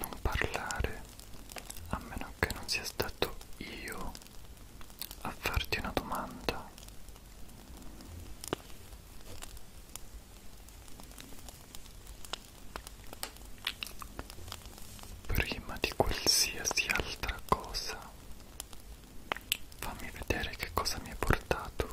non parlare a meno che non sia stato io a farti una domanda. Prima di qualsiasi altra cosa, fammi vedere che cosa mi hai portato.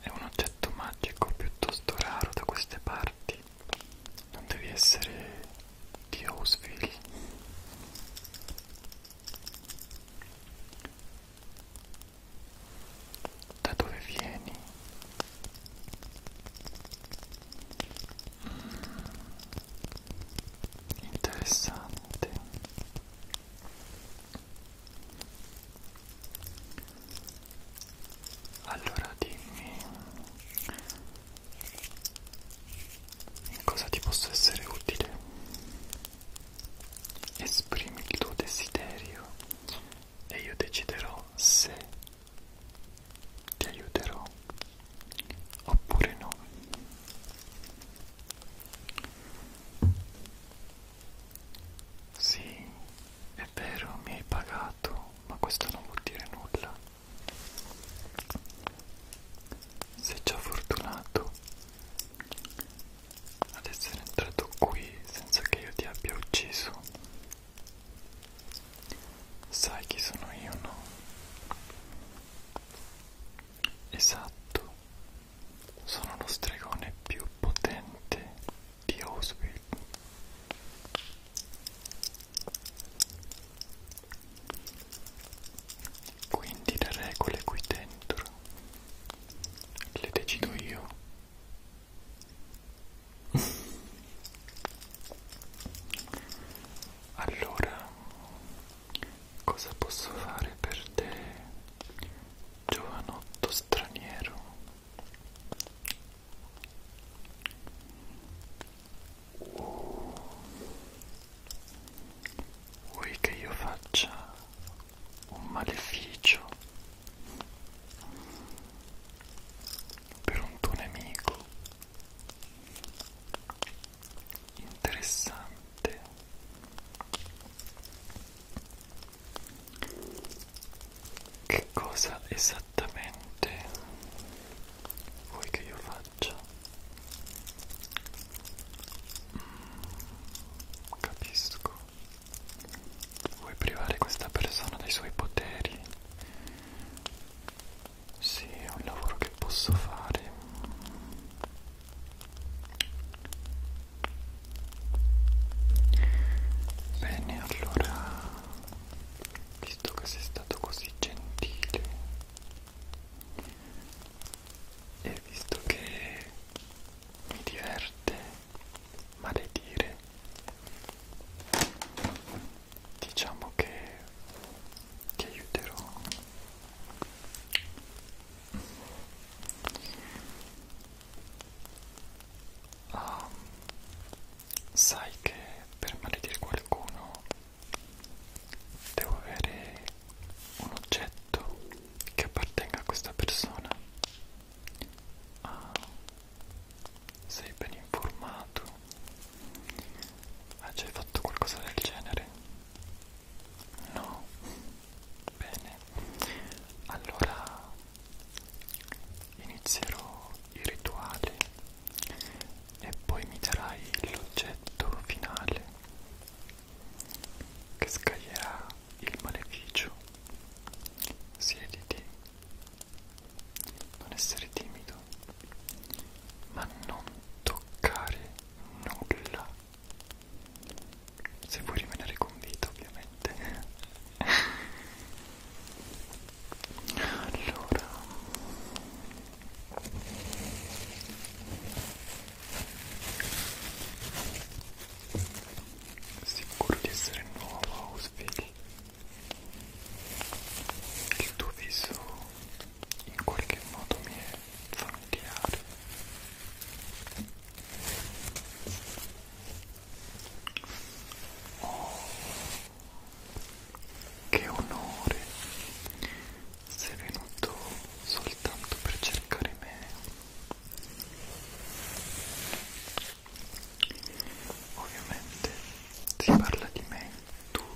È un oggetto magico piuttosto raro da queste parti. Non devi essere di Houseville. Da dove vieni? interessante allora dimmi in cosa ti posso essere utile esprimi il tuo desiderio e io deciderò se ti aiuterò oppure no sì è vero mi hai pagato ma questo non vuol dire nulla sei già fortunato ad essere entrato qui senza che io ti abbia ucciso sai chi sono io no Esatto, sono lo stregone più potente di Auschwitz. Quindi le regole qui dentro le decido io. allora, Cosa posso fare per te, giovanotto straniero? Oh. Vuoi che io faccia un maleficio per un tuo nemico? interessante che cosa esattamente vuoi che io faccia mm, capisco vuoi privare questa persona dei suoi poteri sì, è un lavoro che posso fare bene allora visto che sei stato così gentile e visto che mi diverte maledire diciamo che ti aiuterò Ah, sai che per maledire qualcuno devo avere un oggetto che appartenga a questa persona. Ah, sei ben informato? Hai già fatto qualcosa del genere? No. Bene. Allora inizierò i rituali e poi mi darai l'oggetto finale che scaglierà il maleficio. Siediti. Non essere timido, ma non toccare nulla se vuoi rimanere con vita ovviamente allora sicuro di essere nuovo Ausville il tuo viso in qualche modo mi è familiare oh che onore sei venuto soltanto per cercare me ovviamente si parla di me tu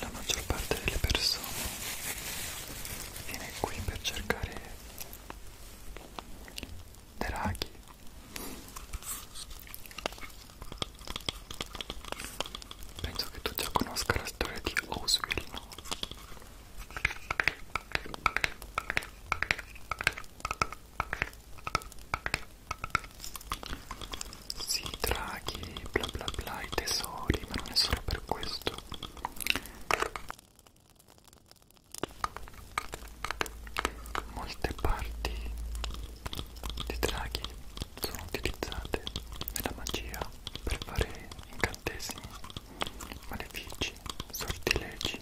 la maggior parte delle persone viene qui per cercare draghi penso che tu già conosca la storia di Oswald no? Sì, draghi, bla bla bla, i tesori, ma non è solo per per questo molte parti di draghi sono utilizzate nella magia per fare incantesimi, malefici, sortilegi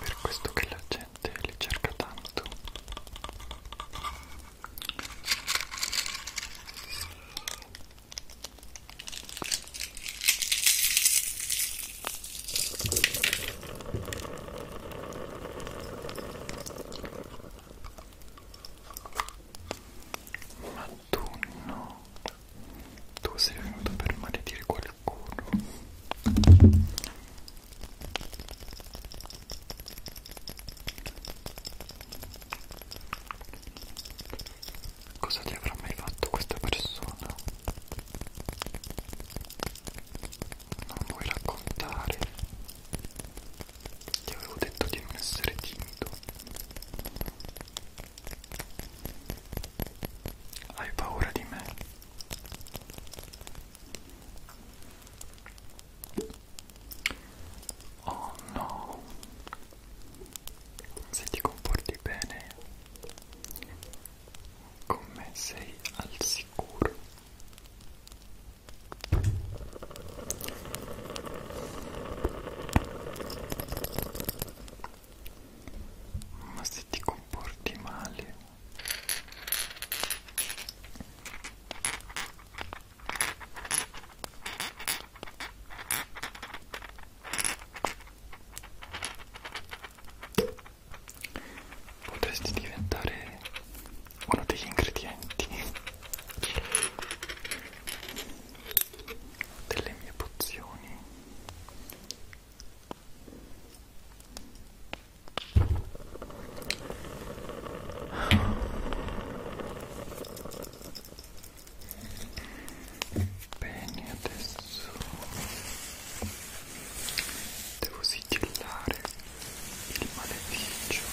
per questo che la gente li cerca tanto ma autunno tu sei venuto per maledire qualcuno cosa ti avrà mai fatto questa persona? non vuoi raccontare? ti avevo detto di non essere timido hai paura di me? Oh no! Se ti comporti bene con me sei al sicuro ma se ti comporti male potresti diventare uno degli ingredienti delle mie pozioni bene adesso devo sigillare il maleficio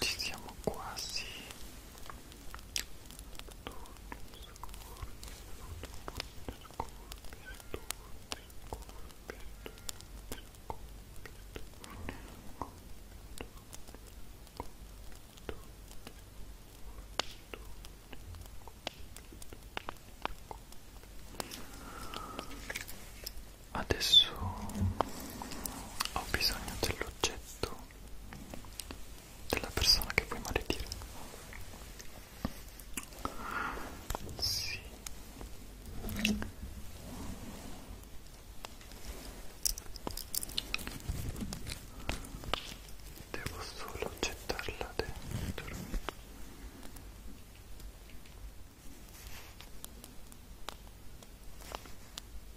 ci siamo quasi Adesso ho bisogno dell'oggetto oggetto della persona che vuoi maledire. Sì. Devo solo gettarla dentro.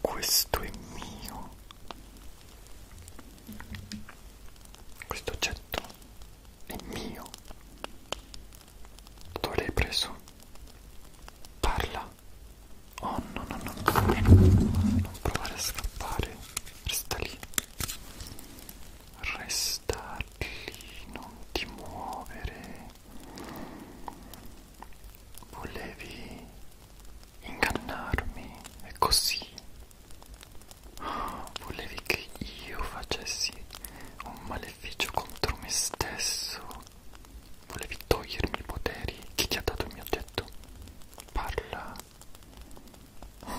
questo è mio questo oggetto è mio dove l'hai preso? parla oh no no no non provare a scappare resta lì resta lì non ti muovere volevi ingannarmi e così oh, volevi che io facessi un maleficio contro me stesso volevi togliermi i poteri chi ti ha dato il mio oggetto parla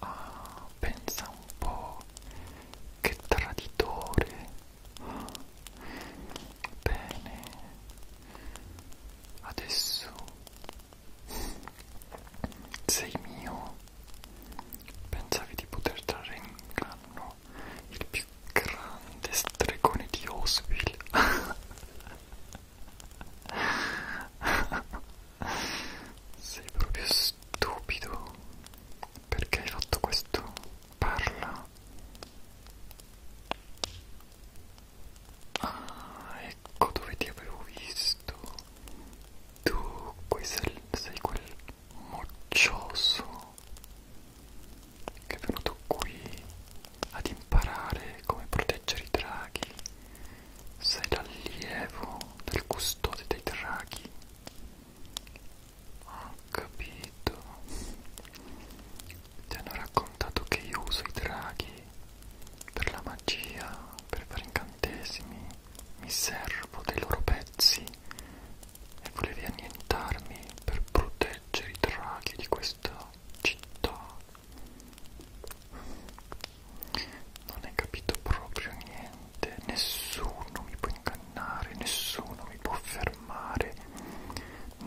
ah, pensa un po' che traditore Bene, adesso sei mio. Pensavi di poter trarre in inganno il più grande stregone di Osville. Sei proprio stupido. Perché hai fatto questo? Parla. Ah, ecco dove ti avevo visto. Tu qui sei, sei quel moccioso che è venuto qui ad imparare come proteggere i draghi. Sei l'allievo del custode dei draghi. Ho capito. Ti hanno raccontato che io uso i draghi per la magia, per fare incantesimi, mi servo dei loro pezzi e volevi annientarmi per proteggere i draghi di questa città. Non hai capito proprio niente, nessuno mi può ingannare, nessuno mi può fermare,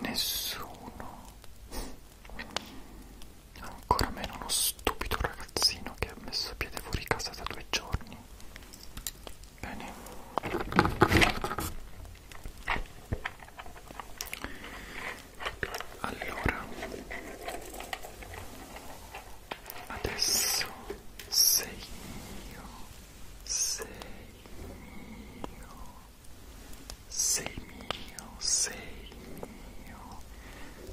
nessuno Ancora meno lo stupido ragazzino che ha messo piede fuori casa da due giorni. Bene. Allora, adesso sei mio, sei mio sei mio, sei mio,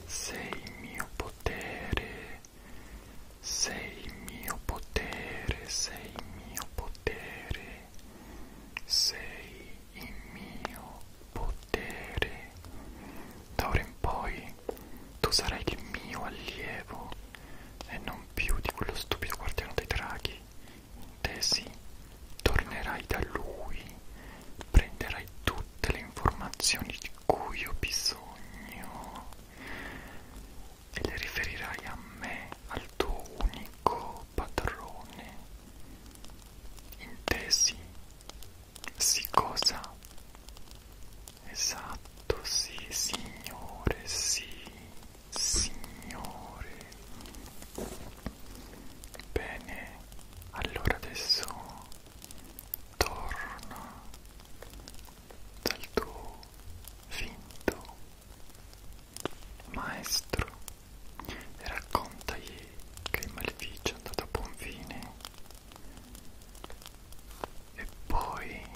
sei mio potere, sei mio potere, sei mio potere, sei il mio potere. Da ora in poi tu sarai il mio allievo e non più di quello stupido guardiano dei draghi tesi, tornerai da lui, prenderai tutte le informazioni di cui ho bisogno e le riferirai a me, al tuo unico padrone. Intesi? Sì cosa? Esatto, sì signore, sì. Signore Bene, allora adesso torna dal tuo finto maestro e raccontagli che il maleficio è andato a buon fine e poi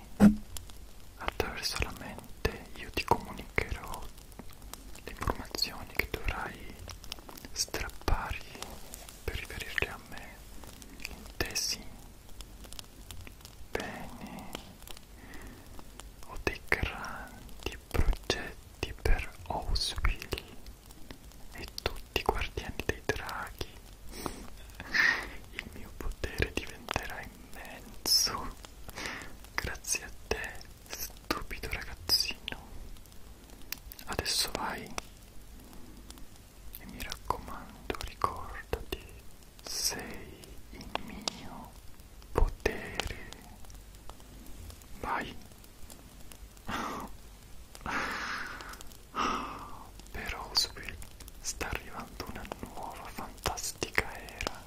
attraverso la mente io ti comunicherò le informazioni che dovrai strappargli per riferirle a me, intesi? Bene, ho dei grandi progetti per Ausville e tutti i guardiani dei draghi. Il mio potere diventerà immenso grazie a te Stupido ragazzino. Adesso vai. E mi raccomando, ricordati, sei in mio potere. Vai. Per Oswald sta arrivando una nuova fantastica era